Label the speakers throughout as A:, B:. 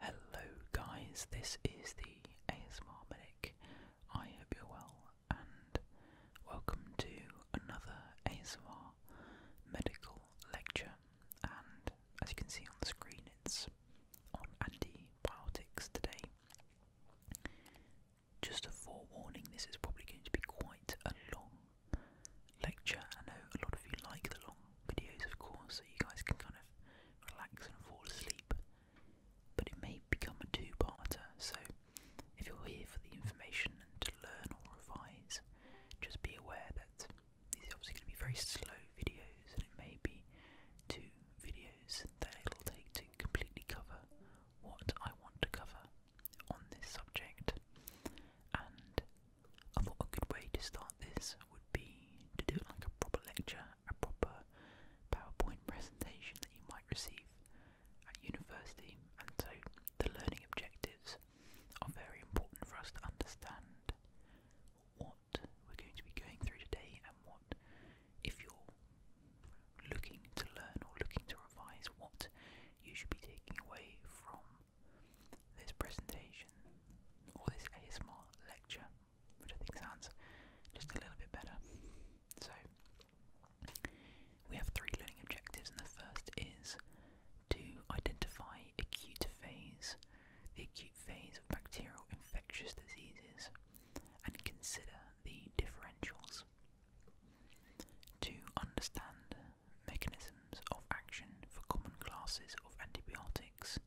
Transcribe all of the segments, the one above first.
A: Hello guys, this is the ASMR Medic. I hope you're well and welcome to another ASMR medical lecture. And as you can see on the screen, it's on Andy antibiotics today. Just a forewarning, this is probably going to be quite a long lecture. I know a lot of you like the long videos, of course, so you guys can kind of relax and fall asleep. But it may become a two parter, so if you're here for the information and to learn or revise, just be aware that these are obviously going to be very slow videos, and it may be two videos that it'll take to completely cover what I want to cover on this subject. And I thought a good way to start this would be to do it like a proper lecture, a proper PowerPoint presentation that you might receive at university. And so the learning objectives are very important for us to understand what we're going to be going through today and what, if you're looking to learn or looking to revise, what you should be taking away from this presentation or this ASMR lecture which I think sounds just a little bit better. So, we have three learning objectives, and the first is to identify acute phase, the acute phase of bacterial infectious diseases, and consider the differentials. To understand mechanisms of action for common classes of antibiotics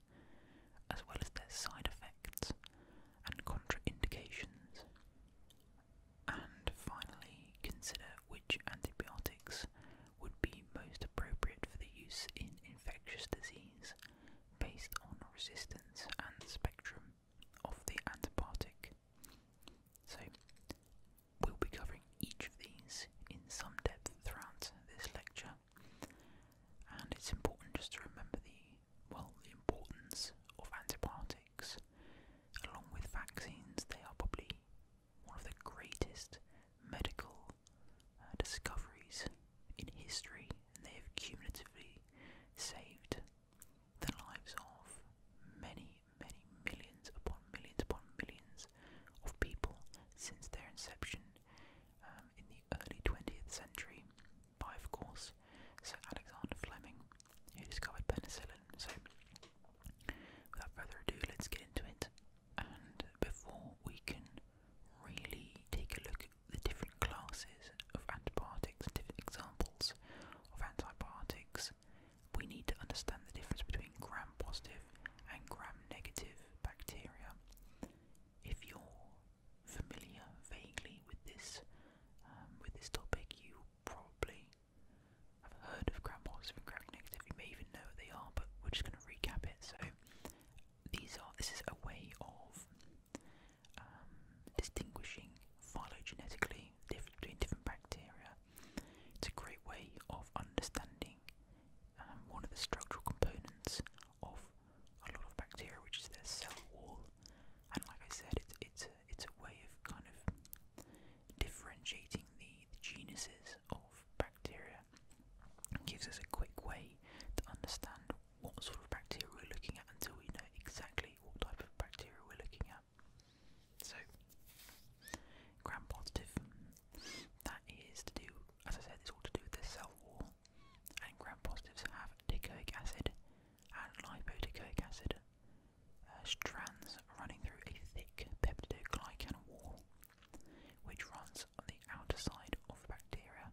A: as well as their side effects and contraindications. And finally, consider which antibiotics would be most appropriate for the use in infectious disease based on resistance and spectrum of the antibiotic. So, we'll be covering each of these in some depth throughout this lecture, and it's important just to remember the well, the importance of antibiotics. Along with vaccines, they are probably one of the greatest medical uh, discoveries in history, and they have cumulatively saved the lives of many, many millions upon millions upon millions of people since their inception um, in the early 20th century by, of course, Sir Alexander Fleming, who discovered penicillin. So, without further ado, let's get into it. And before we can really take a look at the different classes of antibiotics and different examples of antibiotics, we need to understand the difference between gram positive and gram negative bacteria if you're familiar vaguely with this um, with this topic, you probably have heard of gram positive and gram negative. You may even know what they are, but we're just going to recap it. So these are this is a way of um, distinguishing phylogenetically diff between different bacteria. It's a great way of understanding um, one of the structural components of a lot of bacteria, which is their cell wall. And like I said, it's it's a, it's a way of kind of differentiating the, the genuses of bacteria. It gives us a quick way to understand what sort of bacteria we're looking at until we know exactly what type of bacteria we're looking at. So, gram positive. That is to do, as I said, it's all to do with the cell wall and gram-positives have dicoic acid and lipodecoic acid uh, strands running through a thick peptidoglycan wall, which runs on the outer side of bacteria,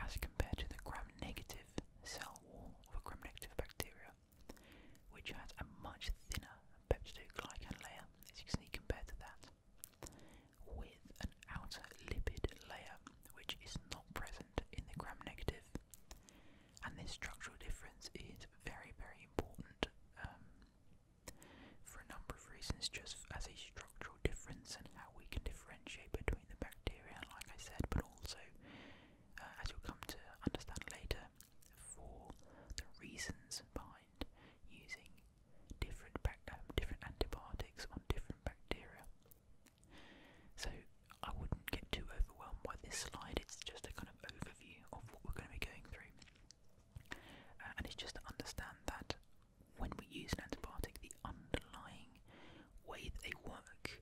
A: as compared to the gram-negative cell wall of a gram-negative bacteria, which has a much thinner peptidoglycan layer, as you can see compared to that with an outer lipid layer which is not present in the gram And this structural difference is very, very important um, for a number of reasons, just as a structural difference and how we can differentiate between the bacteria, like I said, but also, uh, as you'll come to understand later, for the reasons behind using different um, different antibiotics on different bacteria. So I wouldn't get too overwhelmed by this slide. It's just a kind of overview of what we're going to be going through, uh, and it's just to understand that when we use an antibiotic, the underlying way that they work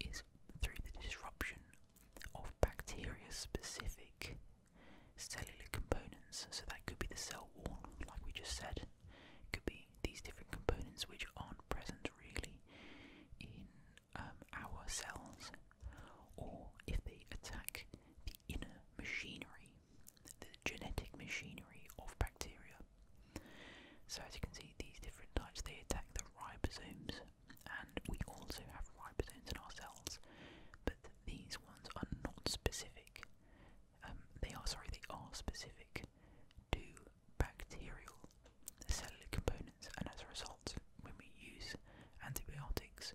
A: is through the disruption of bacteria-specific cellular components. So that could be the cell wall, like we just said could be these different components which aren't present really in um, our cells, or if they attack the inner machinery, the genetic machinery of bacteria. So, as you can see, these different types they attack the ribosomes, and we also have ribosomes in our cells, but these ones are not specific um, they are sorry, they are specific to bacterial cellular components, and as a result, when we use antibiotics,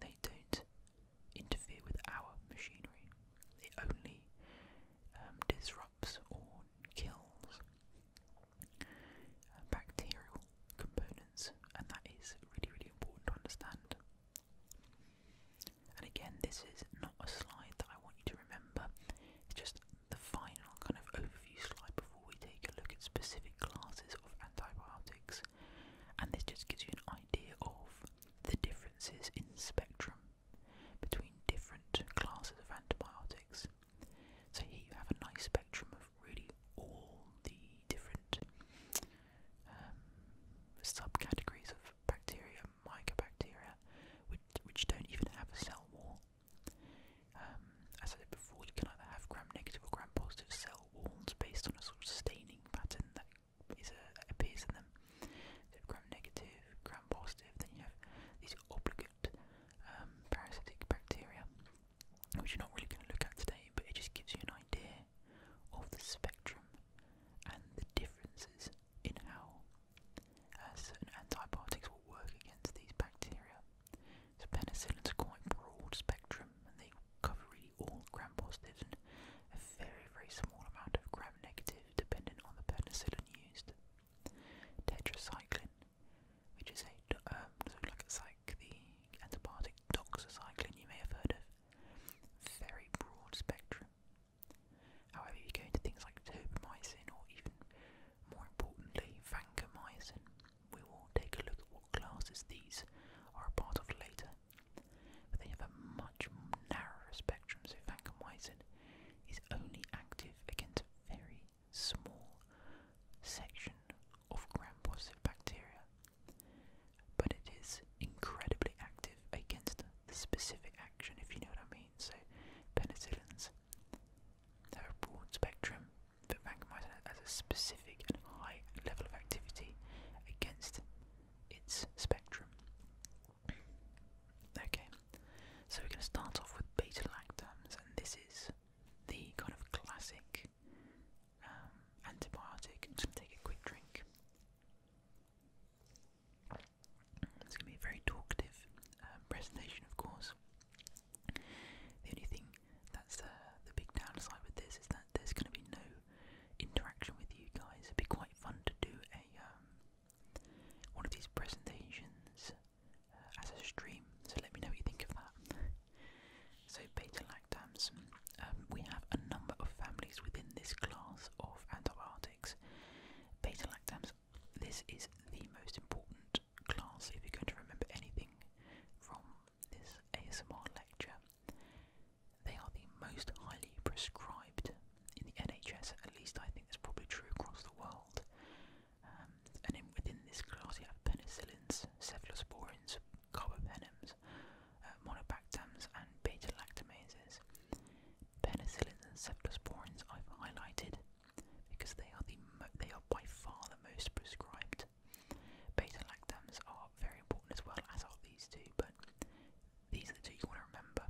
A: they don't interfere with our machinery. They only um, disrupts or kills uh, bacterial components, and that is really, really important to understand. And again, this is not a slide that I want you to remember, it's just the final kind of overview slide before we take a look at specific classes of antibiotics. And this just gives you an idea of the differences in spectrum between different classes of antibiotics. So here you have a nice spectrum of really all the different um, subcategories of bacteria mycobacteria, which, which don't even have a cell wall. Um, as I said before, you can either have gram-negative or gram-positive cell walls based on a sort of staining pattern that is uh, a, appears in them. So gram-negative, gram-positive, then you have these obligate um, parasitic bacteria, which you're not really going to look at today, but it just gives you an idea of the spectrum and the differences in how certain antibiotics will work against these bacteria. So penicillin's quite broad spectrum and they cover really all gram positives and a very, very small amount of gram negative dependent on the penicillin used. Tetracycline, which is a um, like it's like the antibiotic doxycycline you may have heard of. Very broad spectrum. However, if you go into things like tobramycin or even more importantly, vancomycin, we will take a look at what classes these are a part of later. But they have a much narrower spectrum, so vancomycin is only active against a very small section of gram positive bacteria. But it is incredibly active against the specific action, if you know what I mean. So, penicillins have a broad spectrum but randomized as a specific and high level of activity against its spectrum. Okay, so we're going to start off with beta lactams, and this is the kind of classic um, antibiotic. just take a quick drink. It's going to be a very talkative um, presentation, of course. The only thing that's uh, the big downside with this is that there's going to be no interaction with you guys. It'd be quite fun to do a um, one of these presentations uh, as a stream. So let me know what you think of that. so beta lactams, um, we have a number of families within this class of antibiotics. Beta lactams, this is the most important class if you're going to remember anything from this ASMR lecture. They are the most highly prescribed in the NHS, at least I think that's probably true across the world. Um, and within this class, you have penicillins, cephalosporins, carbapenems, uh, monobactams, and beta lactamases. Penicillins and cephalosporins I've highlighted because they are the they are by far the most prescribed. Beta lactams are very important as well as are these two, but these are the two you want to remember.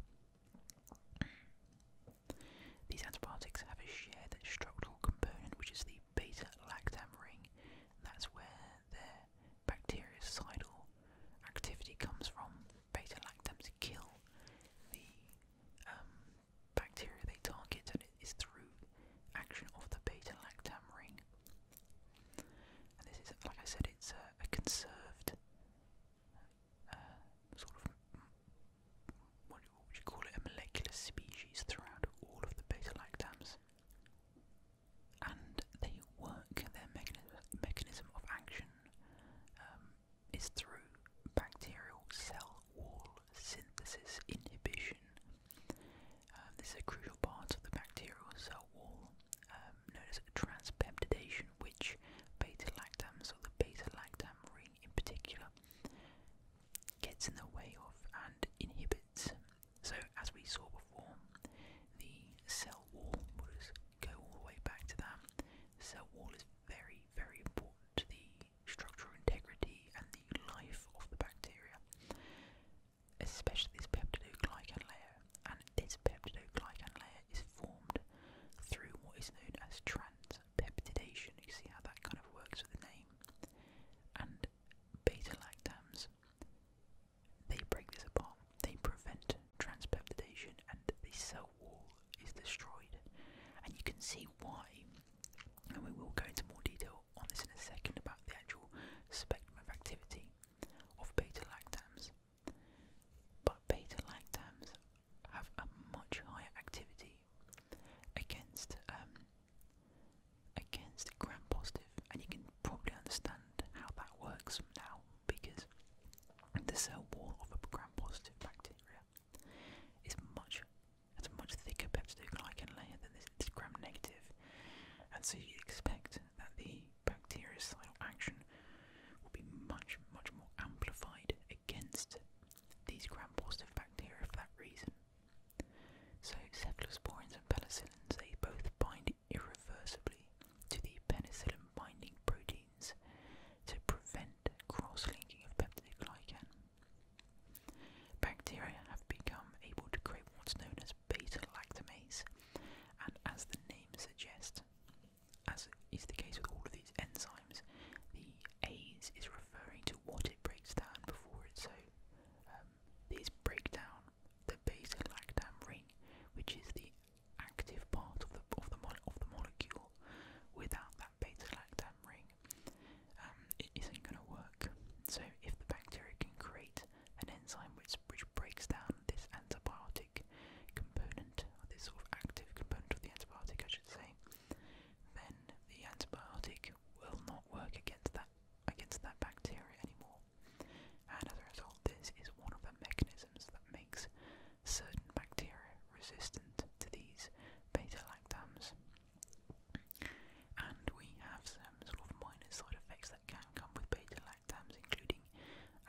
A: These antibiotics have a shared structural component, which is the beta lactam ring, that's where their bactericidal activity comes from beta-lactams kill the um, bacteria they target, and it is through action of the beta-lactam ring. And this is, like I said, it's a, a conserved uh, sort of what would you call it? A molecular species throughout all of the beta-lactams, and they work their mechanism mechanism of action um, is through bacterial cell wall synthesis inhibition. Um, this is a crucial part of the bacterial cell wall um, transpeptidation, which beta lactams, or the beta lactam ring in particular, gets in the way of and inhibits. So, as we saw before, the cell wall. we just go all the way back to that. The cell wall is very, very important to the structural integrity and the life of the bacteria, especially this peptidoglycan layer. And this peptidoglycan layer is formed through what is known as transpeptidation. You see how that kind of works with the name. And beta lactams, they break this apart they prevent transpeptidation and the cell wall is destroyed. And you can see why, and we will go into more detail on this in a second about the actual spectrum of activity of beta lactams. But beta lactams have a much higher activity against um, against gram positive, and you can probably understand how that works now because the cell wall of a gram-positive bacteria is much, has a much thicker peptidoglycan layer than this, this gram-negative, and so you expect that the bactericidal action will be much, much more amplified against these gram-positive bacteria for that reason. So cephalosporins and penicillins, they both bind irreversibly to the penicillin binding protein to prevent cross-linking of peptidoglycan. Bacteria have become able to create what's known as beta-lactamase, and as the name suggests, as is the case with all of these enzymes, the A's is referring to what it breaks down before it. So um, these break down the beta-lactam ring, which is the active part of the of the of the molecule without that beta lactam ring, um, it isn't going to work. So if the bacteria can create an enzyme which which breaks down this antibiotic component, or this sort of active component of the antibiotic, I should say, then the antibiotic will not work against that against that bacteria anymore. And as a result, this is one of the mechanisms that makes certain bacteria resistant to these beta-lactams. And we have some sort of minor side effects that can come with beta-lactams, including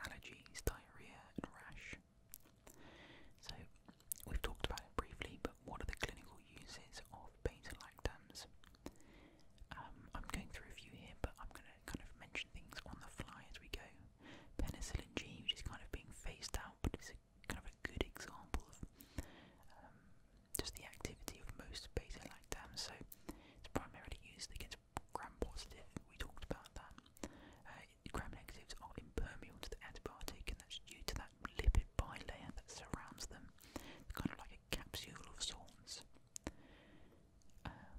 A: allergies, diarrhea, and rash. So, we've talked about it briefly, but what are the clinical uses of beta-lactams? Um, I'm going through a few here, but I'm going to kind of mention things on the fly as we go. Penicillin G, which is kind of being phased out, but it's a, kind of a good example of um, just the activity of most beta-lactams. So it's primarily used against gram-positive. We talked about that. Uh, gram-negatives are impermeable to the antibiotic, and that's due to that lipid bilayer that surrounds them, it's kind of like a capsule of sorts. Um,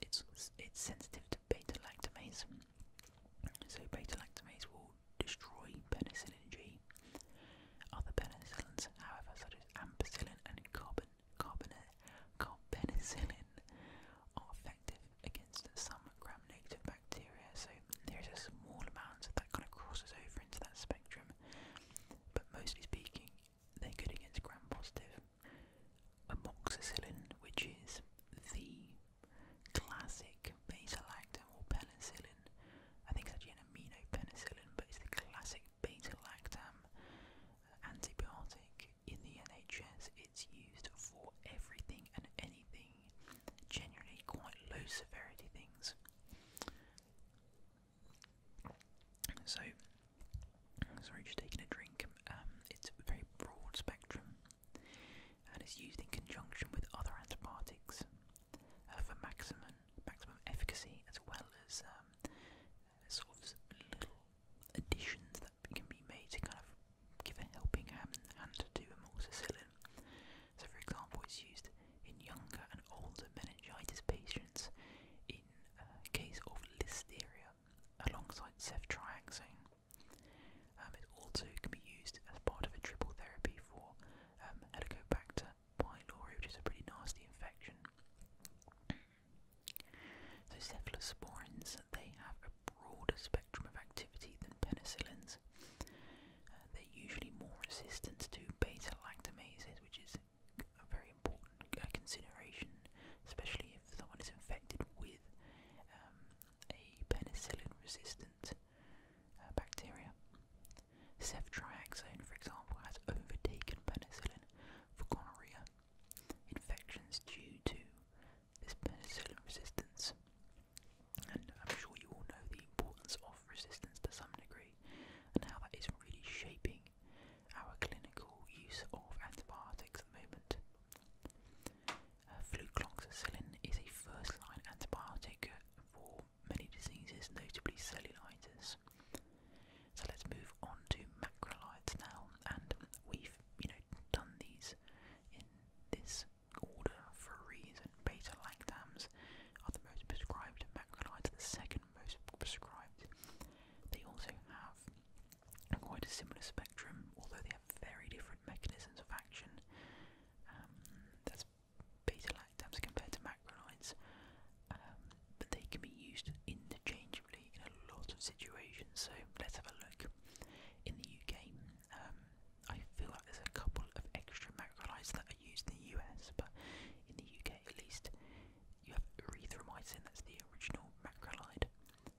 A: it's it's sensitive to beta lactamase, so beta-lactamase will destroy penicillin G. Other penicillins, however, such as ampicillin and carbon, carbon, carbenicillin, are effective against some gram-negative bacteria. So there is a small amount that kind of crosses over into that spectrum. But mostly speaking, they're good against gram-positive. Amoxicillin, which is the classic beta-lactam or penicillin. I think it's actually an amino penicillin, but it's the classic beta-lactam antibiotic in the NHS. It's used for everything and anything, generally quite low severity things. So, sorry, just taking a drink. Um, it's a very broad spectrum and is used in conjunction with other antibiotics uh, for maximum maximum efficacy, as well as um, sort of little additions that can be made to kind of give a helping hand, hand to amoxicillin. So, for example, it's used in younger and older meningitis patients in uh, case of listeria alongside ceftriaxone. Um, it also can be used as part of a triple therapy for um, Helicobacter pylori, which is a pretty nasty infection. So cephalosporins, they have a broader spectrum of activity than penicillins. Uh, they're usually more resistant to beta-lactamases, which is a very important uh, consideration, especially if someone is infected with um, a penicillin-resistant uh, bacteria. Ceftriaxone, for example, has overtaken penicillin for gonorrhea infections due to this penicillin resistance. And I'm sure you all know the importance of resistance to some degree and how that is really shaping our clinical use of antibiotics at the moment. Fluconazole is a first-line antibiotic for many diseases, notably cellulitis. So let's move on to macrolides now, and we've you know done these in this order for a reason. Beta lactams are the most prescribed, macrolides are the second most prescribed. They also have quite a similar spectrum, although they have very different mechanisms of action. Um, that's beta lactams compared to macrolides, um, but they can be used interchangeably in a lot of situations. So let's have a look. In the UK, um, I feel like there's a couple of extra macrolides that are used in the US, but in the UK at least, you have erythromycin, that's the original macrolide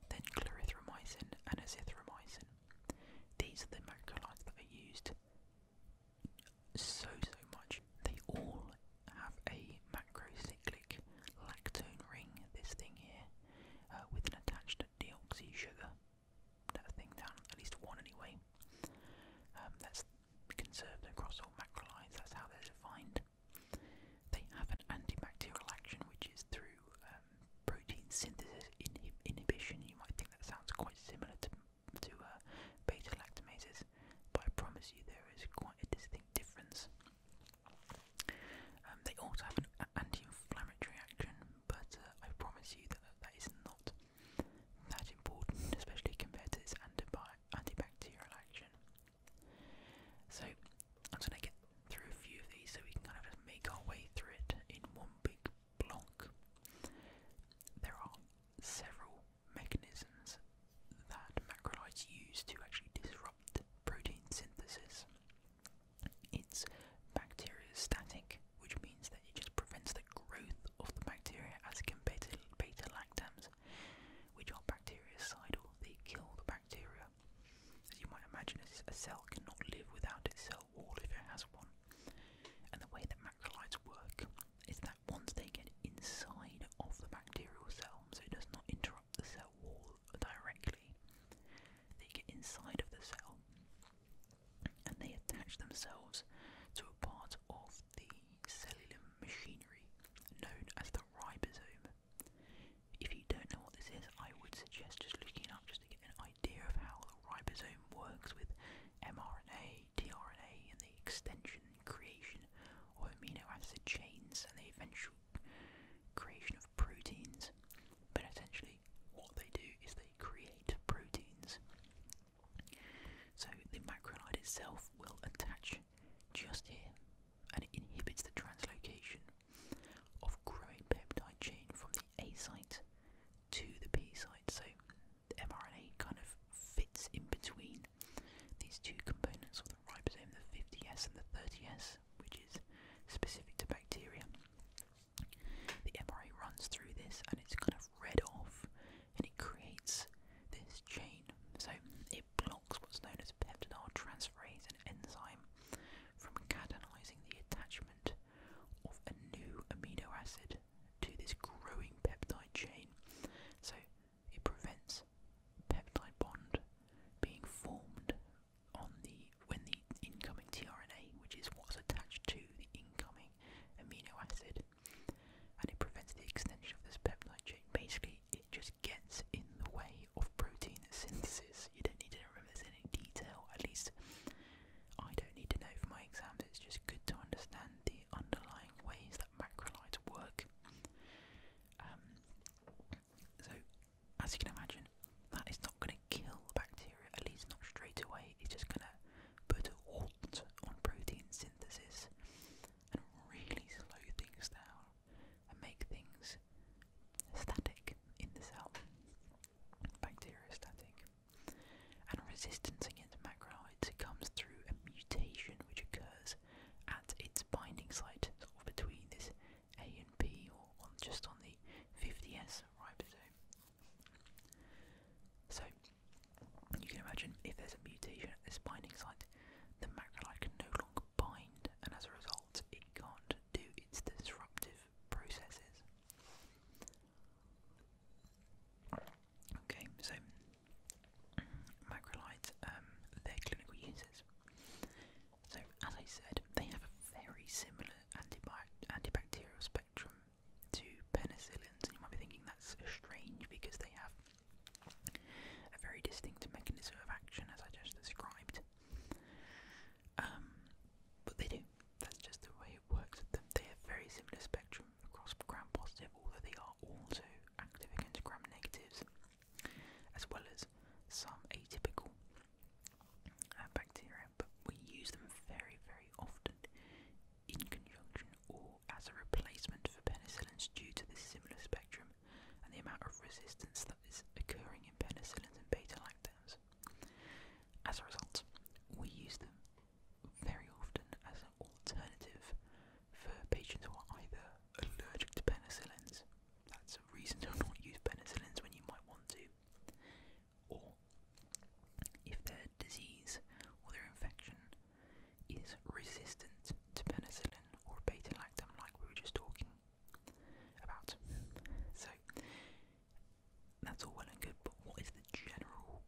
A: then clarithromycin and azithromycin. These are the macrolides that are used so, so much. They all have a macrocyclic lactone ring, this thing here, uh, with an attached deoxy sugar. That thing down, at least one anyway. Um, that's conserved across all macrolides, that's how they're defined. They have an antibacterial action, which is through uh, protein synthesis inhibition. You might think that sounds quite similar to to uh, beta lactamases, but I promise you there is quite a distinct difference. Um, they also have an anti-inflammatory action, but uh, I promise you that that is not that important, especially compared to its antibacterial action. So I'm going to get through a few of these so we can kind of make our way through it in one big block. There are several mechanisms that macrolides use to actually disrupt protein synthesis. It's bacteriostatic, which means that it just prevents the growth of the bacteria as compared to beta lactams, which are bactericidal, they kill the bacteria as you might imagine, a cell cannot live without its cell wall if it has one. And the way that macrolides work is that once they get inside of the bacterial cell, so it does not interrupt the cell wall directly, they get inside of the cell and they attach themselves to a part of the cellular machinery known as the ribosome. If you don't know what this is, I would suggest just looking up just to get an idea of how the ribosome works with mRNA, tRNA, and the extension creation of amino acid chains and the eventual creation of proteins. But essentially, what they do is they create proteins. So the macronide itself will attach just here and it inhibits the translocation of growing peptide chain from the A site to the P site. So the mRNA kind of fits in between these two components of the ribosome, the 50S and the 30S, which is specific to bacteria. The mRNA runs through this and it's kind of read off and it creates this chain. So it blocks what's known as peptidyl transferase, an enzyme from catalyzing the attachment of a new amino acid to this growing peptide chain. So it prevents peptide bond being formed on the when the incoming tRNA, which is what's attached to the incoming amino acid, and it prevents the extension of this peptide chain. Basically, it just gets in the way of protein synthesis. You don't need to remember this in any detail, at least I don't need to know for my exams. It's just good to understand the underlying ways that macrolides work. Um, so, as you can imagine, that is not going to kill bacteria, at least not straight away. It's just going to put a halt on protein synthesis and really slow things down and make things static in the cell bacteriostatic. And resistance against macrolides comes through a mutation which occurs at its binding site, between this A and P, or just on the 50S ribosome. So, you can imagine if there's a mutation at this binding site, the macrolide can no longer bind, and as a result, it can't do its disruptive processes. Okay, so macrolides, um, their clinical uses. So, as I said, they have a very similar antibacterial spectrum to penicillins, and you might be thinking that's strange because they have a very distinct mechanism of action, as I just described. Um, but they do. That's just the way it works They have very similar spectrum across gram-positive, although they are also active against gram-negatives, as well as some atypical uh, bacteria. But we use them very, very often in conjunction or as a replacement for penicillins due to the similar spectrum and the amount of resistance that is occurring in penicillins and beta-lactams. As a result, we use them very often as an alternative for patients who are either allergic to penicillins, that's a reason to not use penicillins when you might want to, or if their disease or their infection is resistant to penicillin or beta lactam, like we were just talking about. So, that's all well and good, but what is the general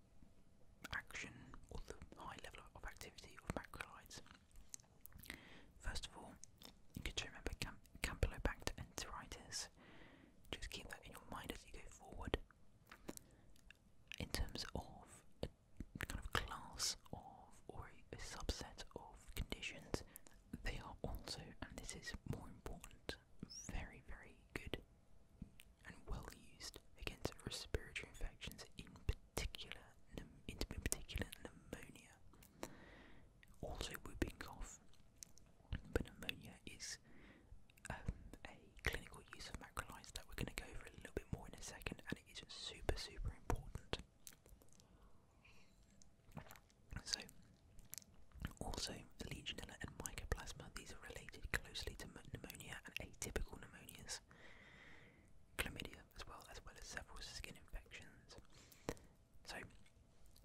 A: action or the high level of activity of macrolides? First of all, you could remember Cam Campylobacter enteritis. Just keep that in your mind as you go forward. In terms of a kind of class of or a subset of conditions, they are also, and this is more important very, very good and well used against respiratory infections, in particular, in particular pneumonia. Also, whooping cough, but pneumonia is um, a clinical use of macrolides that we're going to go over a little bit more in a second, and it is super, super important. So, also Legionella and Mycoplasma, these are related closely to pneumonia and atypical pneumonias, chlamydia as well, as well as several skin infections. So,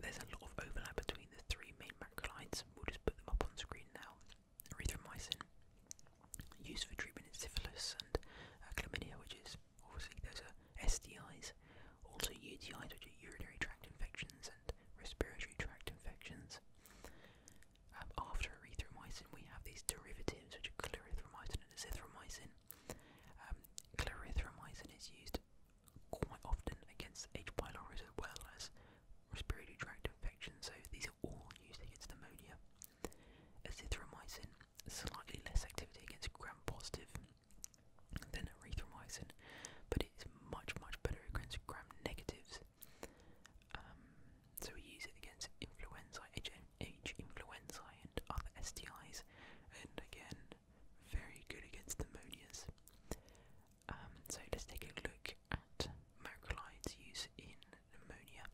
A: there's a lot of overlap between the three main macrolides. We'll just put them up on screen now. Erythromycin, used for treatment in syphilis and uh, chlamydia, which is obviously those are SDIs. Also UTIs, which are urinary tract infections and respiratory tract infections. Um, after erythromycin, we have these derivatives, which are clarithromycin and azithromycin. Um, clarithromycin is used quite often against H. pylori as well as respiratory tract infections, so these are all used against pneumonia. Azithromycin, slightly less activity against gram positive then erythromycin, but it is much, much better against gram negatives. Um, so we use it against influenza, H influenza, and other STIs, and again, very good against pneumonias. Um, so let's take a look at macrolides use in pneumonia.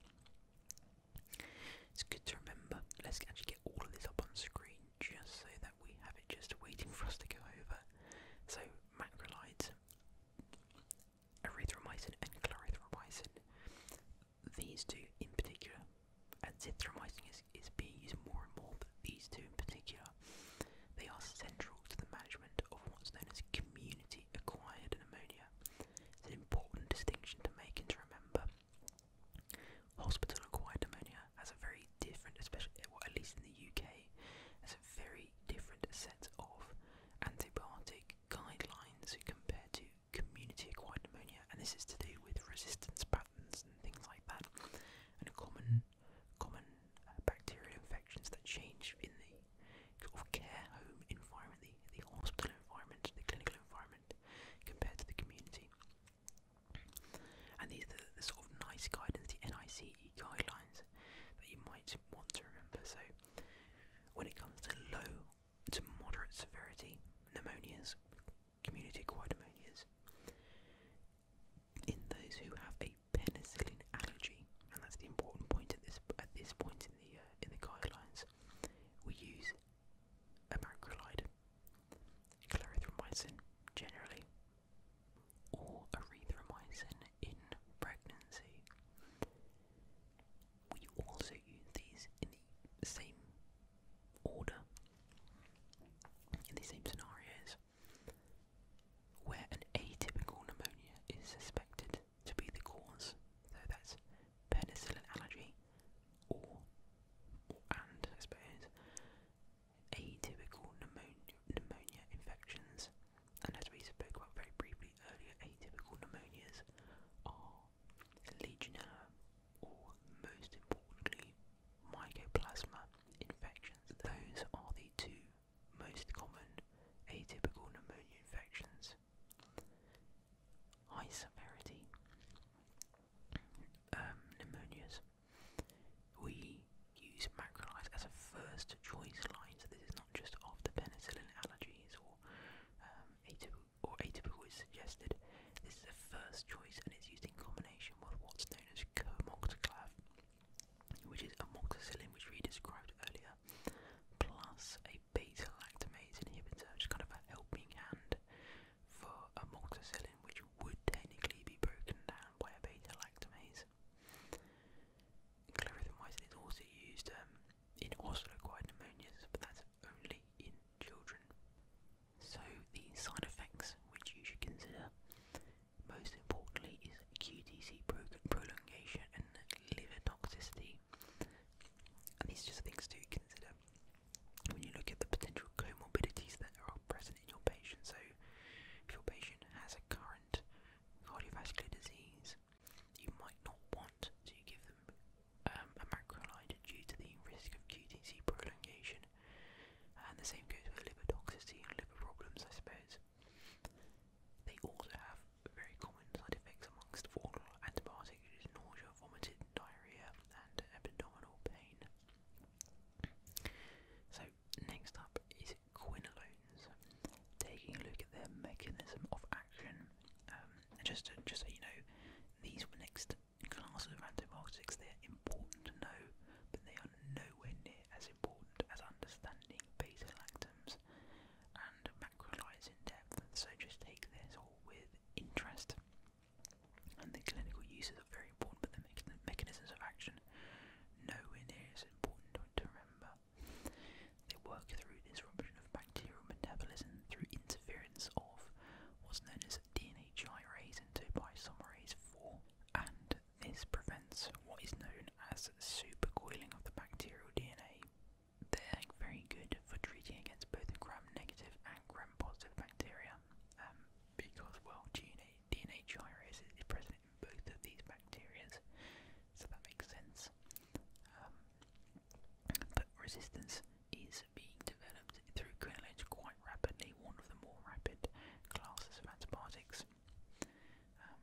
A: It's good to remember. Let's actually get all of this up on screen just so that we have it just waiting for us to go over. So macrolides, erythromycin and clarithromycin, these two in particular, azithromycin is, is being used more and more, but these two in particular, they are central to the management of what's known as community-acquired pneumonia. It's an important distinction to make and to remember. Hospital acquired pneumonia has a very different, especially at least in the UK, has a very different set of antibiotic guidelines compared to community-acquired pneumonia, and this is to do with resistance patterns and things like that, and common, common uh, bacterial infections that change in the sort of care home environment, the, the hospital environment, the clinical environment, compared to the community. And these are the, sort of nice guidance, the NICE guidelines that you might want to remember. So, when it comes to low to moderate severity pneumonias, community acquired pneumonias, in those who have a penicillin allergy, and that's the important point at this at this point in the uh, in the guidelines, we use amoxicillin, clarithromycin generally, or erythromycin in pregnancy. We also use these in the same order, in the same scenarios, where an atypical pneumonia is suspected to be the cause, so that's penicillin allergy, or, and I suppose, atypical pneumonia, infections, and as we spoke about very briefly earlier, atypical pneumonias are Legionella, or most importantly, Mycoplasma infections. Those are the two most common atypical pneumonia infections. High severity um, pneumonias we use macrolides as a first choice line, so this is not just after penicillin allergies or um, or atypical This is a first choice, and it's used in combination with what's known as comoxiclav, which is amoxicillin, which we described earlier, plus a beta lactamase inhibitor, which is kind of a helping hand for amoxicillin, which would technically be broken down by a beta lactamase. Clarithromycin is also used um, in osteoacquired pneumonias, but that's only in children. So the side effects which you should consider most importantly is QTC prolongation and liver toxicity. And these are just things to consider when you look at the potential comorbidities that are present in your patient. So, if your patient has a current cardiovascular disease, you might not want to give them um, a macrolide due to the risk of QTc prolongation. And the same goes with liver toxicity and liver problems, I suppose. They also have very common side effects amongst all antibiotics, which is nausea, vomiting, diarrhea, and abdominal pain. So next up is quinolones. Taking a look at their mechanism of action, um, just just so you know, these were next classes of antibiotics. They are important to know, but they are nowhere near as important as understanding beta lactams and macrolides in depth. So just take this all with interest. And the clinical uses are very important, but the mechanisms of action nowhere near important to remember. They work through disruption of bacterial metabolism through interference of what's known as DNA gyrase into biosomerase 4, and this prevents what is known as supercoiling of the bacterial DNA. They're very good for treating against both gram-negative and gram-positive bacteria um, because, well, DNA, DNA gyrase is present both of these bacteria, so that makes sense. Um, but resistance is being developed through clinical quite rapidly, one of the more rapid classes of antibiotics. Um,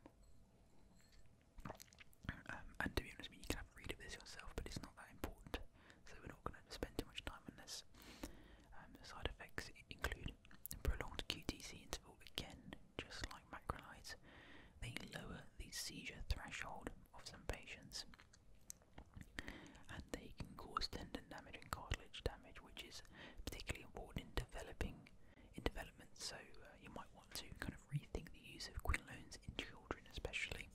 A: um, and to be honest, mean, you can read of this yourself, but it's not that important, so we're not going to spend too much time on this. side effects include Prolonged QTC interval again, just like macrolides, they lower the seizure threshold of some patients, and they can cause tendon damage and cartilage damage, which is particularly important in developing in development. So uh, you might want to kind of rethink the use of quinolones in children, especially.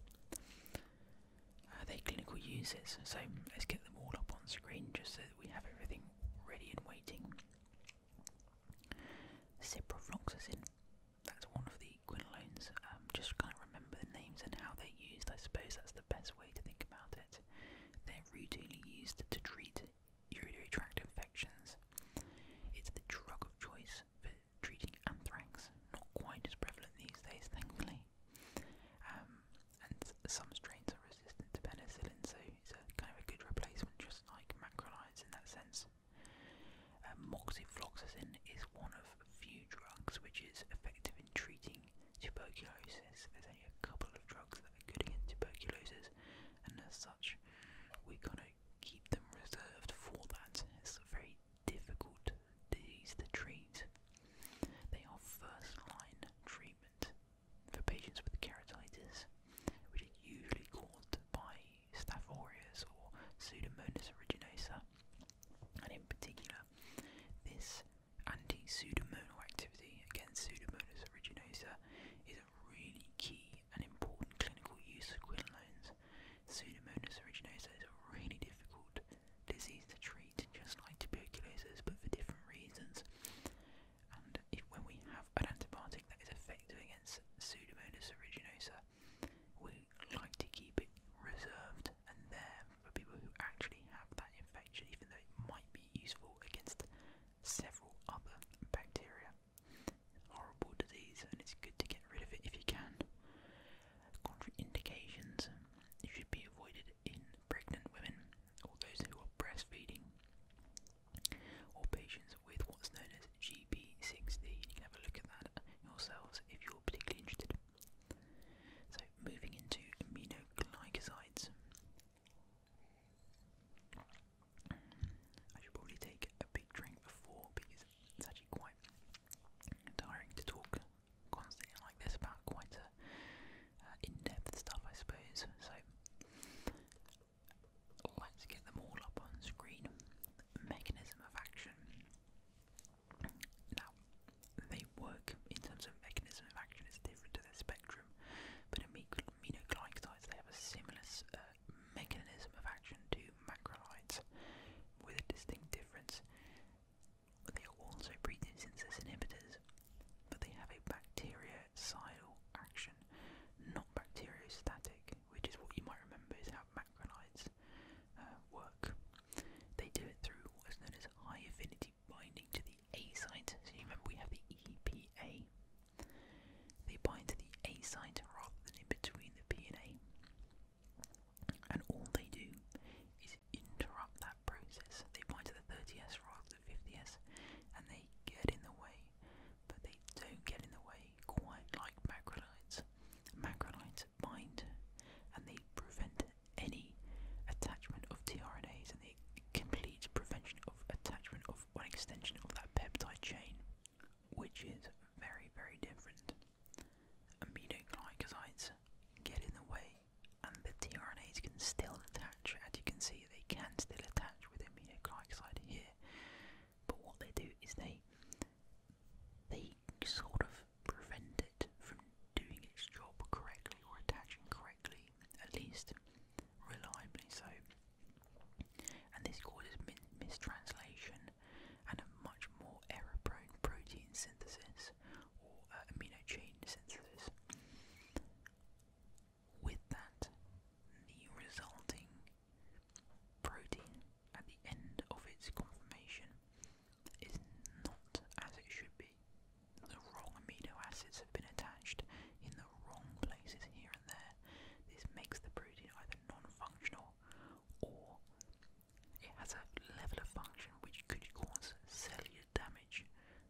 A: Are uh, their clinical uses. So let's get them all up on screen just so we have everything ready and waiting. Ciprofloxacin, that's one of the quinolones. Um, just can't remember the names and how they're used. I suppose that's the best way to think about it. They're routinely used to treat urinary tract infections. It's the drug of choice for treating anthrax, not quite as prevalent these days, thankfully. Um, and some strains are resistant to penicillin, so it's a kind of a good replacement, just like macrolides in that sense. Um, moxifloxacin is one of few drugs which is effective in treating tuberculosis. There's only a couple of drugs that are good against tuberculosis, and as such, we kind of keep them reserved for that. It's a very difficult disease to treat. They are first line treatment for patients with keratitis, which is usually caused by Staphylococcus or Pseudomonas aeruginosa. And in particular, this anti-pseudomonal activity against Pseudomonas aeruginosa is a really key and important clinical use of quinolones. Pseudomonas aeruginosa is a really difficult disease to treat, just like tuberculosis, but for different reasons. And if, when we have an antibiotic that is effective against Pseudomonas aeruginosa, we like to keep it reserved and there for people who actually have that infection, even though it might be useful against several other bacteria. Horrible disease, and it's good to get rid of it if you can. Contraindications should be avoided in pregnant women or those who are breastfeeding, or patients with what's known as GP60. You can have a look at that yourselves if you're particularly interested. So, moving into aminoglycosides. I should probably take a big drink before because it's actually quite tiring to talk constantly like this about quite a in-depth stuff, I suppose. So let's get them all up on screen. Mechanism of action. Now, they work in terms of mechanism of action It's different to the spectrum, but aminoglycosides they have a similar uh, mechanism of action to macrolides, with a distinct difference. They are also protein synthesis inhibitors, but they have a bactericidal action, not bacteriostatic, which is what you might remember is how macrolides uh, work. They do it through what's known as high affinity binding to the A site. So you remember we have the EPA. They bind to the A site rather than in between the P and A. And all they do is interrupt that process. They bind to the 30S rather than 50S, and they they get in the way, but they don't get in the way quite like macrolides. Macrolides bind and they prevent any attachment of tRNAs and they complete prevention of attachment of one extension of that peptide chain, which is very, very different. Aminoglycosides get in the way and the tRNAs can still attach attach. As you can see, they can still attach within the immunoglycoside here, but what they do is they they sort of prevent it from doing its job correctly or attaching correctly, at least reliably so. And this causes mistranslation and a much more error-prone protein synthesis or uh, amino chain synthesis. With that, the resulting protein at the end of its conformation is not as it should be. The wrong amino acids have been attached in the wrong places here and there. This makes the protein either non-functional or it has a level of function which could cause cellular damage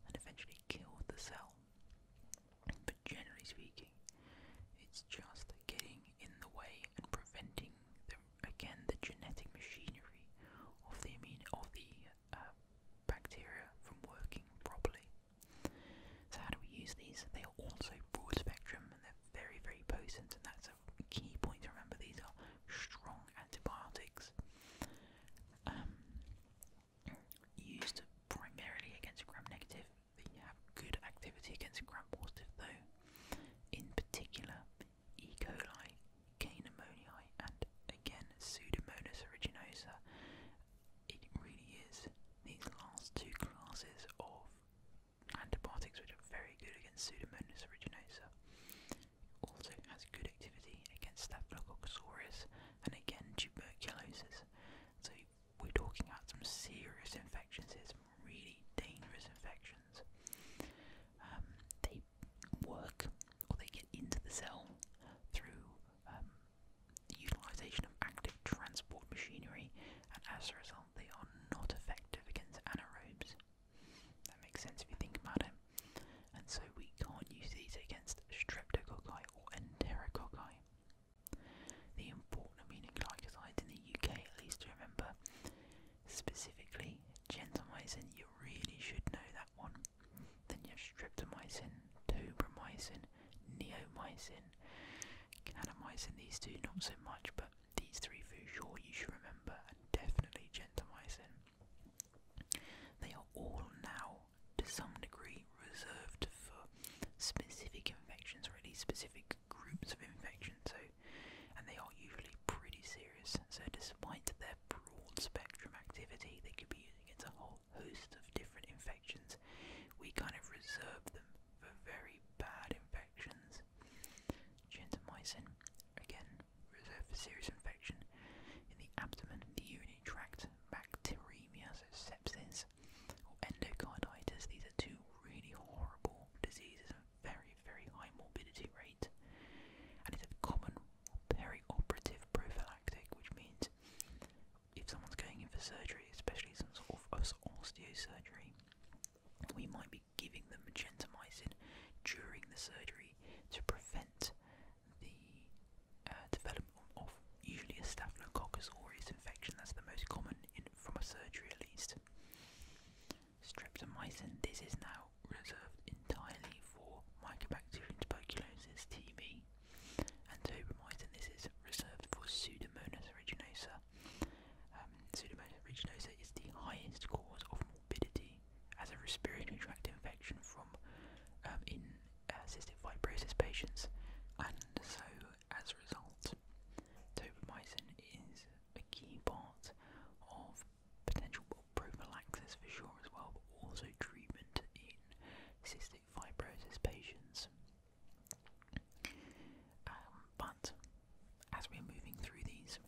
A: and eventually kill the cell. But generally speaking, it's just getting in the way and preventing again the genetic machinery of the immune of the uh, bacteria from working properly. So how do we use these? They are also broad spectrum and they're very very potent, and that's a key point to remember. These are strong antibiotics. Um, used primarily against gram negative, but have good activity against gram positive though. In particular, E. coli, K. pneumoniae, and again Pseudomonas aeruginosa. It really is these last two classes of antibiotics which are very good against Pseudomonas aeruginosa. Also has good activity against Staphylococcus aureus and again tuberculosis. So we're talking about some serious infections here, some really dangerous infections. Um, they work or they get into the cell through um, the utilisation of active transport machinery, and as a result, they are not effective against anaerobes. That makes sense if you think about it. And so we can't use these against streptococci or enterococci. The important meaning like in the UK at least to remember specifically gentamicin, you really should know that one. Then you have streptomycin, tobramycin, neomycin, kanamycin. these two not so much, but these three for sure you should remember and definitely gentamicin. They are all now to some degree reserved for specific infections, or at least specific groups of infections. So, and they are usually pretty serious. So, despite their broad spectrum activity, they could be used against a whole host of different infections. We kind of reserve them for very bad infections. Gentamicin, again, reserved for serious infection in the abdomen, the urinary tract, bacteremia, so sepsis, or endocarditis. These are two really horrible diseases, a very, very high morbidity rate, and it's a common perioperative prophylactic, which means if someone's going in for surgery, especially some sort of osteosurgery, we might be giving them gentamicin during the surgery to prevent the uh, development of usually a staphylococcus aureus infection. That's the most common from a surgery, at least. Streptomycin. This is now reserved entirely for mycobacterium tuberculosis (TB) and tobramycin. This is reserved for Pseudomonas aeruginosa. Um, Pseudomonas aeruginosa is the highest cause of morbidity as a respiratory tract infection from um, in uh, cystic fibrosis patients, and so as a result, tobramycin is a key part of potential prophylaxis for sure as well, but also treatment in cystic fibrosis patients. Um, but as we're moving through these,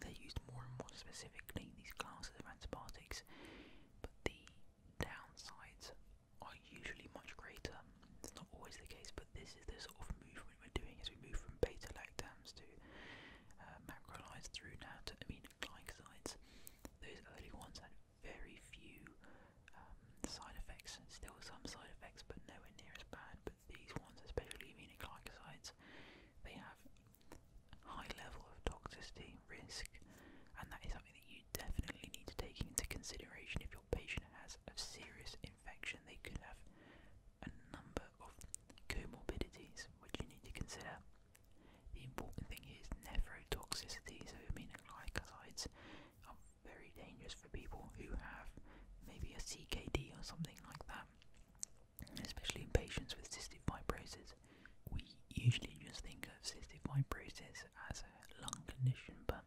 A: they're used more and more specifically, these classes of antibiotics. But the downsides are usually much greater. It's not always the case, but this is the sort of movement we're doing as we move from beta lactams to uh, macrolides through now to aminoglycosides. Those early ones had very few um, side effects, still some side effects, but nowhere near as bad. But these ones, especially aminoglycosides, they have high level of toxicity risk, and that is something that you definitely need to take into consideration if your patient has a serious infection, they could have a number of comorbidities which you need to consider. The important thing is nephrotoxicity, so I mean are very dangerous for people who have maybe a CKD or something like that, especially in patients with cystic fibrosis. We usually just think of cystic fibrosis as a lung condition, but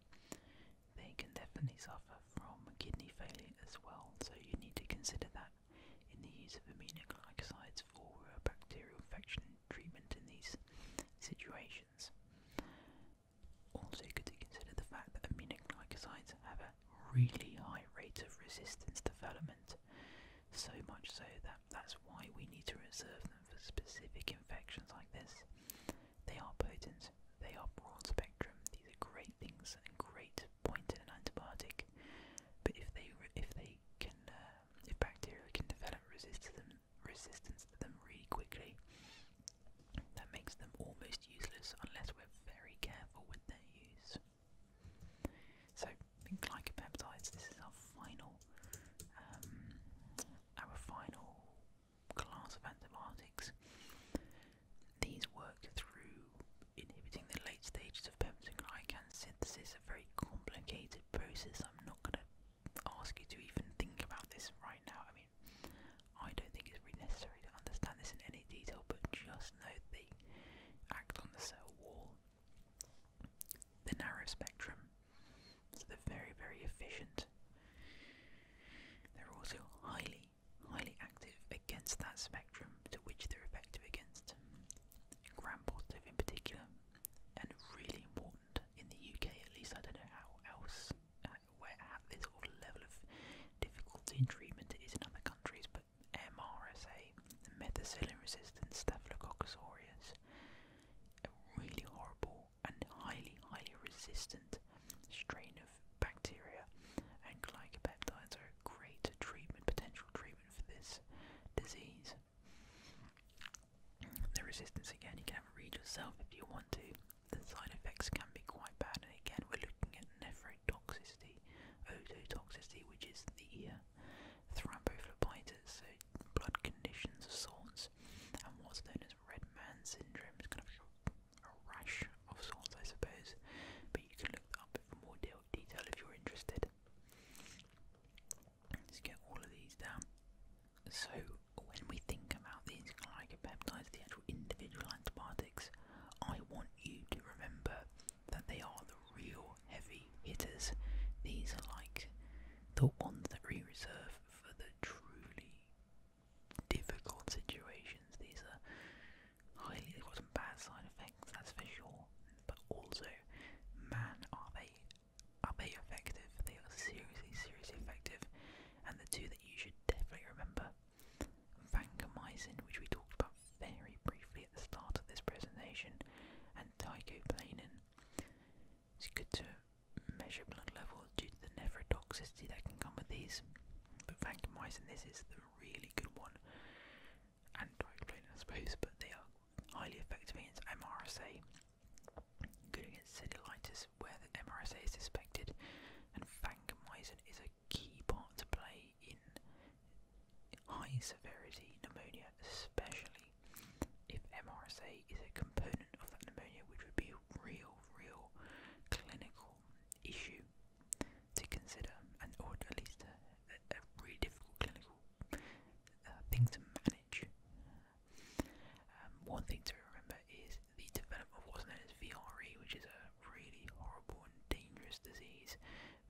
A: they can definitely suffer from kidney failure as well. So you need to consider that in the use of aminoglycosides for uh, bacterial infection treatment in these situations. Also, good to consider the fact that aminoglycosides have a really high rate of resistance development, so much so that that's why we need to reserve for specific infections like this. They are potent, they are broad spectrum, these are great things and great point in an antibiotic. But if they if they can uh, if bacteria can develop resistance to them, resistance to them really quickly, that makes them almost useless unless we're very careful with their use. So, glycopeptides. This is our final um, our final class of antibiotics. These work through inhibiting the late stages of pepsin synthesis, a very complicated process. I'm not going to ask you to even think about this right now. I mean, I don't think it's really necessary to understand this in any detail, but just note they act on the cell wall. The narrow spectrum so they're very, very efficient. They're also highly, highly active against that spectrum to which they're effective against. Gram positive in particular, and really important in the UK at least. I don't know how else, uh, where this sort level of difficulty in treatment it is in other countries, but MRSA, methicillin resistant Staphylococcus aureus, really horrible and highly, highly resistant strain of bacteria, and glycopeptides are a great treatment, potential treatment for this disease. The resistance again, you can read yourself if you want to. The side effects can be quite bad, and again, we're looking at nephrotoxicity, ototoxicity, which is the uh, thrombophlebitis, so blood conditions of sorts and what's known as red man syndrome is kind of a rash of sorts, I suppose. But you can look up for more de detail if you're interested. Let's get all of these down. So, when we think about these glycopeptides, the actual individual antibiotics, I want you to remember that they are the real heavy hitters. These are like the ones that we reserve for the truly difficult situations. These are highly, they've some bad side effects, that's for sure. But also, man, are they are they effective? They are seriously, seriously effective. And the two that you should definitely remember, vancomycin, which we talked about very briefly at the start of this presentation, and ticoplanin. It's good to measure blood level due to the nephrotoxicity that can come with these. But vancomycin, this is the really good one. And diclofenac, I suppose, but they are highly effective against MRSA. Good against cellulitis where the MRSA is suspected, and vancomycin is a key part to play in high severity pneumonia, especially if MRSA is a component of that pneumonia, which would be a real, real clinical issue to consider, and or at least a, a, really difficult clinical uh, thing to manage. Um, one thing to remember is the development of what's known as VRE, which is a really horrible and dangerous disease,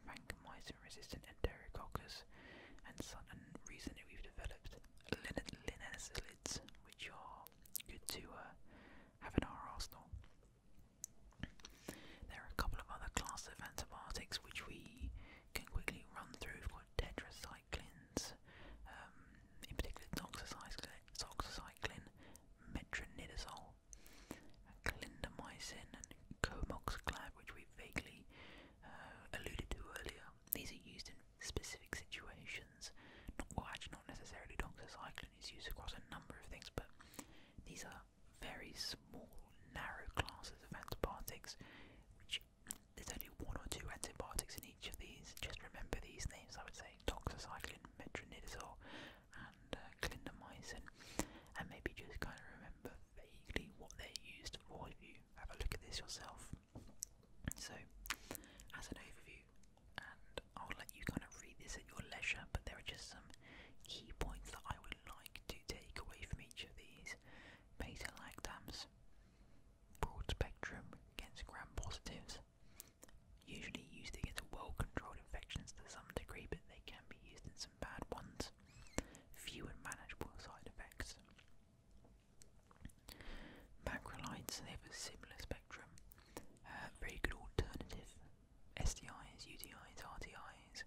A: vancomycin-resistant enterococcus, and, and reason we've developed Linus lids, which are good to uh, have in our arsenal. There are a couple of other class of antibiotics which we can quickly run through. We've got tetracyclines, um, in particular doxycycline, metronidazole, clindamycin, and comoxiclib, which we vaguely uh, alluded to earlier these are used in specific situations. Well, actually, not necessarily doxycycline is used across a number of things, but these are very small, narrow classes of antibiotics, which there's only one or two antibiotics in each of these. Just remember these names, I would say doxycycline, metronidazole, and uh, clindamycin, and maybe just kind of remember vaguely what they're used for if you have a look at this yourself. So, as an overview, and I'll let you kind of read this at your leisure, but there are just some key points that I would like to take away from each of these beta-lactams. Broad spectrum against gram-positives, usually used against well-controlled infections to some degree, but they can be used in some bad ones. Few and manageable side effects. Macrolides, they have a similar spectrum. Uh, very good alternative. SDIs, UDIs, RDIs.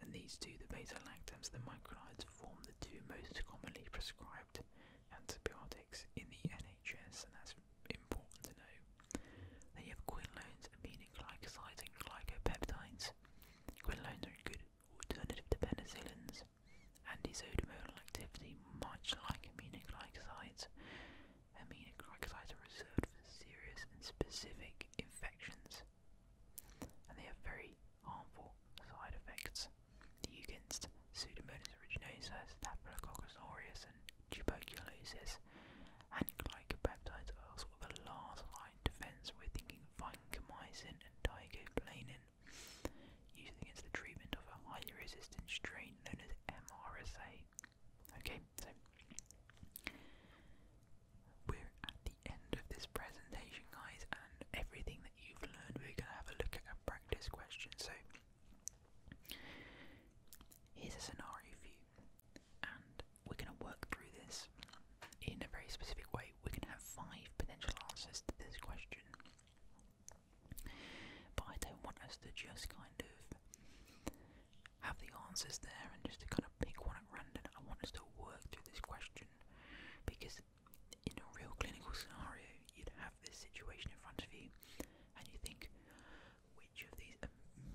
A: And these two, the beta-lactams and the microlides, form the two most commonly prescribed antibiotics in the NHS, and that's important to know. Then you have quinolones, meaning glycosides, and glycopeptides. Quinolones are good Alternative to penicillins, and antisodmonal activity, much like aminoglycosides. Aminoglycosides are reserved for serious and specific infections, and they have very harmful side effects. The Eugenst, Pseudomonas aeruginosa, Staphylococcus aureus, and tuberculosis, and glycopeptides are sort of a last line defense. We're thinking vancomycin and digoplanin used against the treatment of a highly resistant strain known as MRSA. Okay, so we're at the end of this presentation, guys, and everything that you've learned, we're going to have a look at a practice question. So here's a scenario for you, and we're going to work through this in a very specific way. We're going to have five potential answers to this question. But I don't want us to just kind of have the answers there and just to kind of pick one at random. I want us to work through this question because in a real clinical scenario, you'd have this situation in front of you and you think, which of these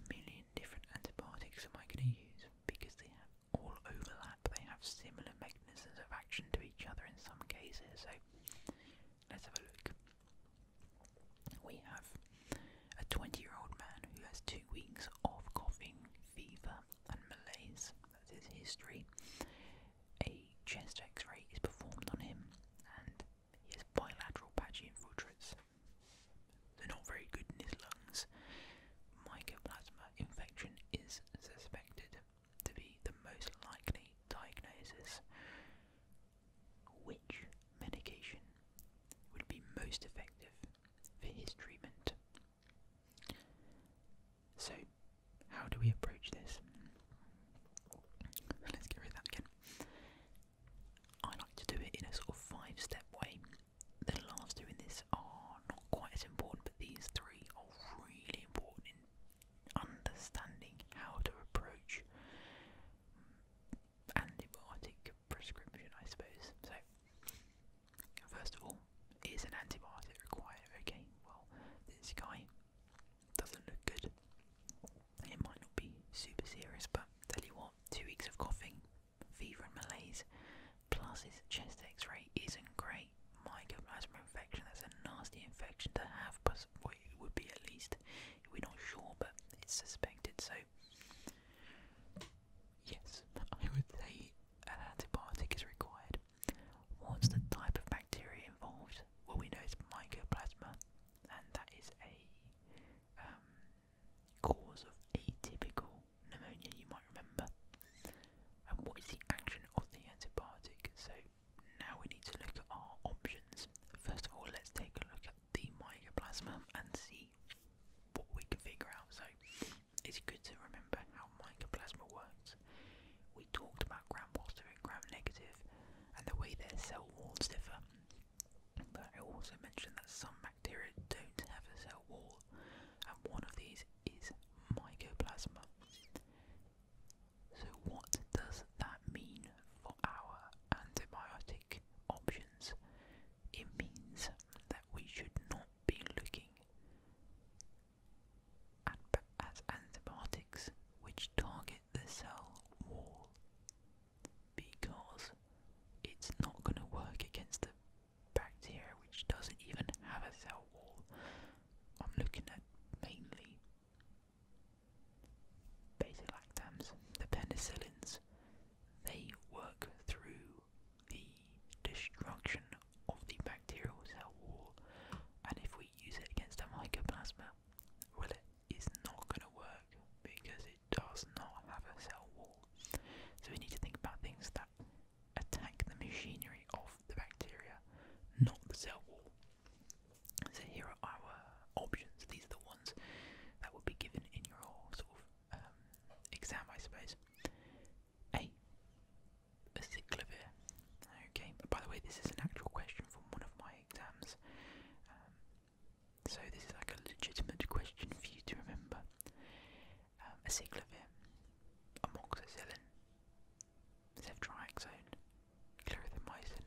A: million different antibiotics am I going to use? Because they have all overlap, they have similar mechanisms mechanisms of action to each other in some cases. So let's have a look. We have a 20 year old man who has two weeks of coughing, fever, and malaise. That's his history. A chest x ray is performed on him, and he has bilateral patchy infiltrates. They're not very good in his lungs. Mycoplasma infection is suspected to be the most likely diagnosis. Which medication would be most effective for his treatment? So, how do we approach this? Let's get rid of that again. I like to do it in a sort of five step way. The last two in this are not quite as important, but these three are really important understanding how to approach antibiotic prescription, I suppose. So, first of all, is an antibiotic required? Okay, well, this guy doesn't look good. It might not be super serious, but tell you what, two weeks of coughing, fever, and malaise, plus his chest x ray great isn't great. Mycoplasma infection, that's a nasty infection to have, but it would be at least. We're not sure, but it's suspected, so yes, I would say an antibiotic is required. What's the type of bacteria involved? Well, we know it's mycoplasma, and that is a um, cause of atypical pneumonia, you might remember. And what is the action of the antibiotic? So, now we need to look at our options. First of all, let's take a look at the mycoplasma and see what we can figure out. So, it's good to remember how mycoplasma works. We talked about gram positive and gram negative and the way their cell walls differ. But I also mentioned that some bacteria don't have a cell wall, and one of these is mycoplasma. So what does that mean for our antibiotic options? It means that we should not be looking at, at antibiotics which target the cell wall because it's not going to work against the bacteria which doesn't even have a cell wall. I'm looking at mainly beta-lactams, the penicillins. They work through the destruction of the bacterial cell wall, and if we use it against a mycoplasma, well, it is not going to work because it does not have a cell wall. So we need to think about things that attack the machinery of the bacteria, not the cell wall. So here are our options. These are the ones that would be given in your sort of um, exam, I suppose. A. Acyclovir. Okay. By the way, this is an actual question from one of my exams. Um, so this is like a legitimate question for you to remember. Um, amoxicillin, ceftriaxone, clarithromycin,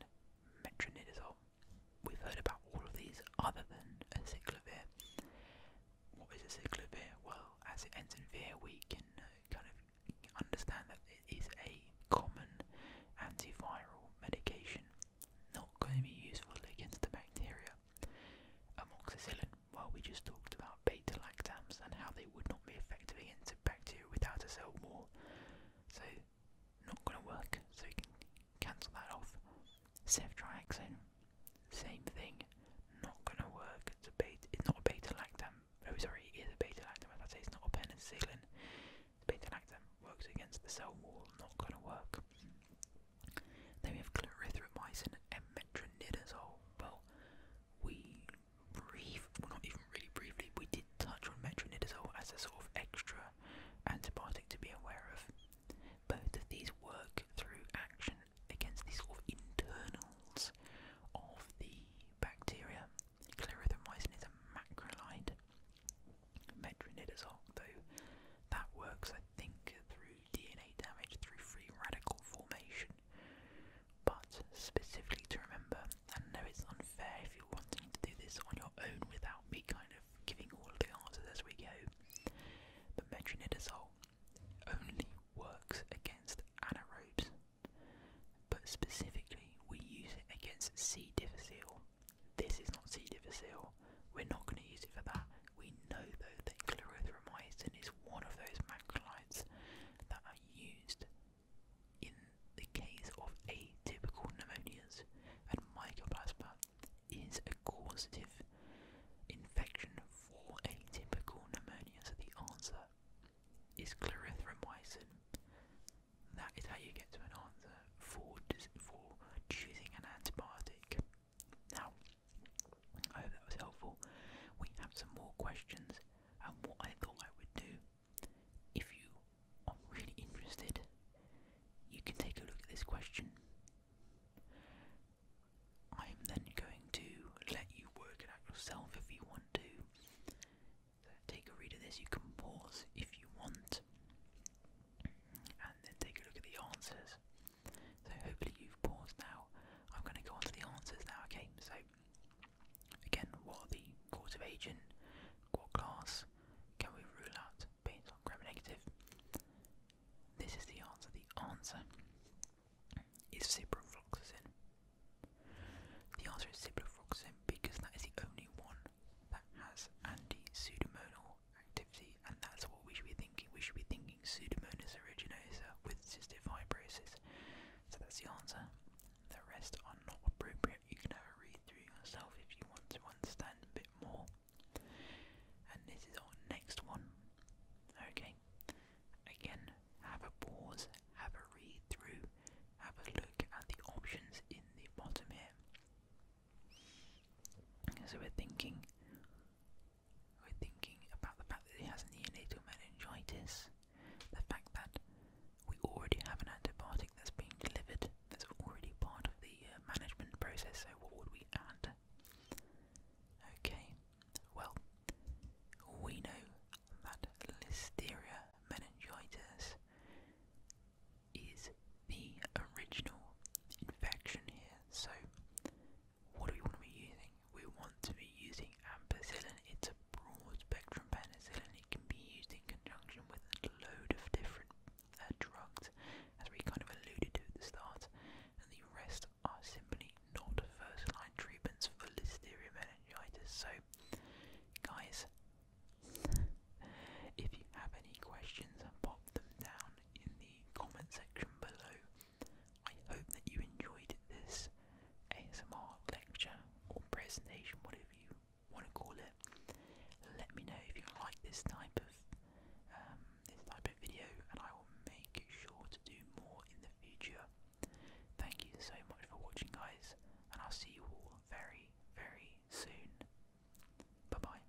A: metronidazole. We've heard about all of these other than acyclovir. What is acyclovir? Well, as it ends in vir, we can uh, kind of understand that it is a common antiviral medication, not going to be useful against the bacteria. Amoxicillin, well, we just talked about beta lactams and how they would not be effective against bacteria without a cell wall. So, not going to work, so you can cancel that off. Ceftriaxone, same thing, not going to work. It's, a beta, it's not a beta lactam. Oh, sorry, it is a beta lactam. As I say, it's not penicillin. Beta lactam works against the cell wall, not going to work. Then we have clarithromycin and metronidazole we brief, well not even really briefly, we did touch on metronidazole as a sort of extra antibiotic to be aware of. Both of these work through action against the sort of internals of the bacteria. Clarithromycin is a macrolide. Metronidazole, though, that works, I think, through DNA damage, through free radical formation, but specifically to remember, and I know it's unfair if you're wanting to do this on your own without me kind of giving all the answers as we go, but metronidazole only works against anaerobes, but specifically we use it against C. difficile. This is not C. difficile, we're not going to use it for that. We know though that clarithromycin is one of those macrolides that are used in the case of atypical pneumonias and mycoplasma is a causative infection for atypical pneumonia, so the answer is clarithromycin. That is how you get to an answer for, for choosing an antibiotic. Now, I hope that was helpful. We have some more questions, and what I thought I would do if you are really interested, you can take a look at this question. I'm then going to let you work it out yourself if you want to. take a read of this, you can pause if you want, and then take a look at the answers. So hopefully you've paused now. I'm going to go on to the answers now, okay? So Again, what the cause of aging? What class? Can we rule out being on gram negative? This is the answer. The answer is ciprofloxacin. The answer is ciprofloxacin because that is the only one that has anti-pseudomonal activity, and that's what we should be thinking. We should be thinking pseudomonas aeruginosa with cystic fibrosis. So that's the answer. The rest are not appropriate. You can have a read through yourself if you want to understand a bit more. And this is our next one. Okay. Again, have a pause, have a read through, have a look at the options in the bottom here. So we're thinking we're thinking about the fact that he has neonatal meningitis. The fact that we already have an antibiotic that's being delivered, that's already part of the uh, management process, so what would we add? Okay, well, we know that Listeria meningitis is the original infection here, so what do we want to be using? We want to be using using ampicillin. It's a broad spectrum penicillin. It can be used in conjunction with a load of different uh, drugs, as we kind of alluded to at the start, and the rest are simply not first line treatments for listeria meningitis. So, guys, if you have any questions, pop them down in the comment section below. I hope that you enjoyed this ASMR lecture or presentation, whatever you want to call it. Let me know if you like this type of um, this type of video, and I will make sure to do more in the future. Thank you so much for watching, guys, and I'll see you all very, very soon. Bye bye.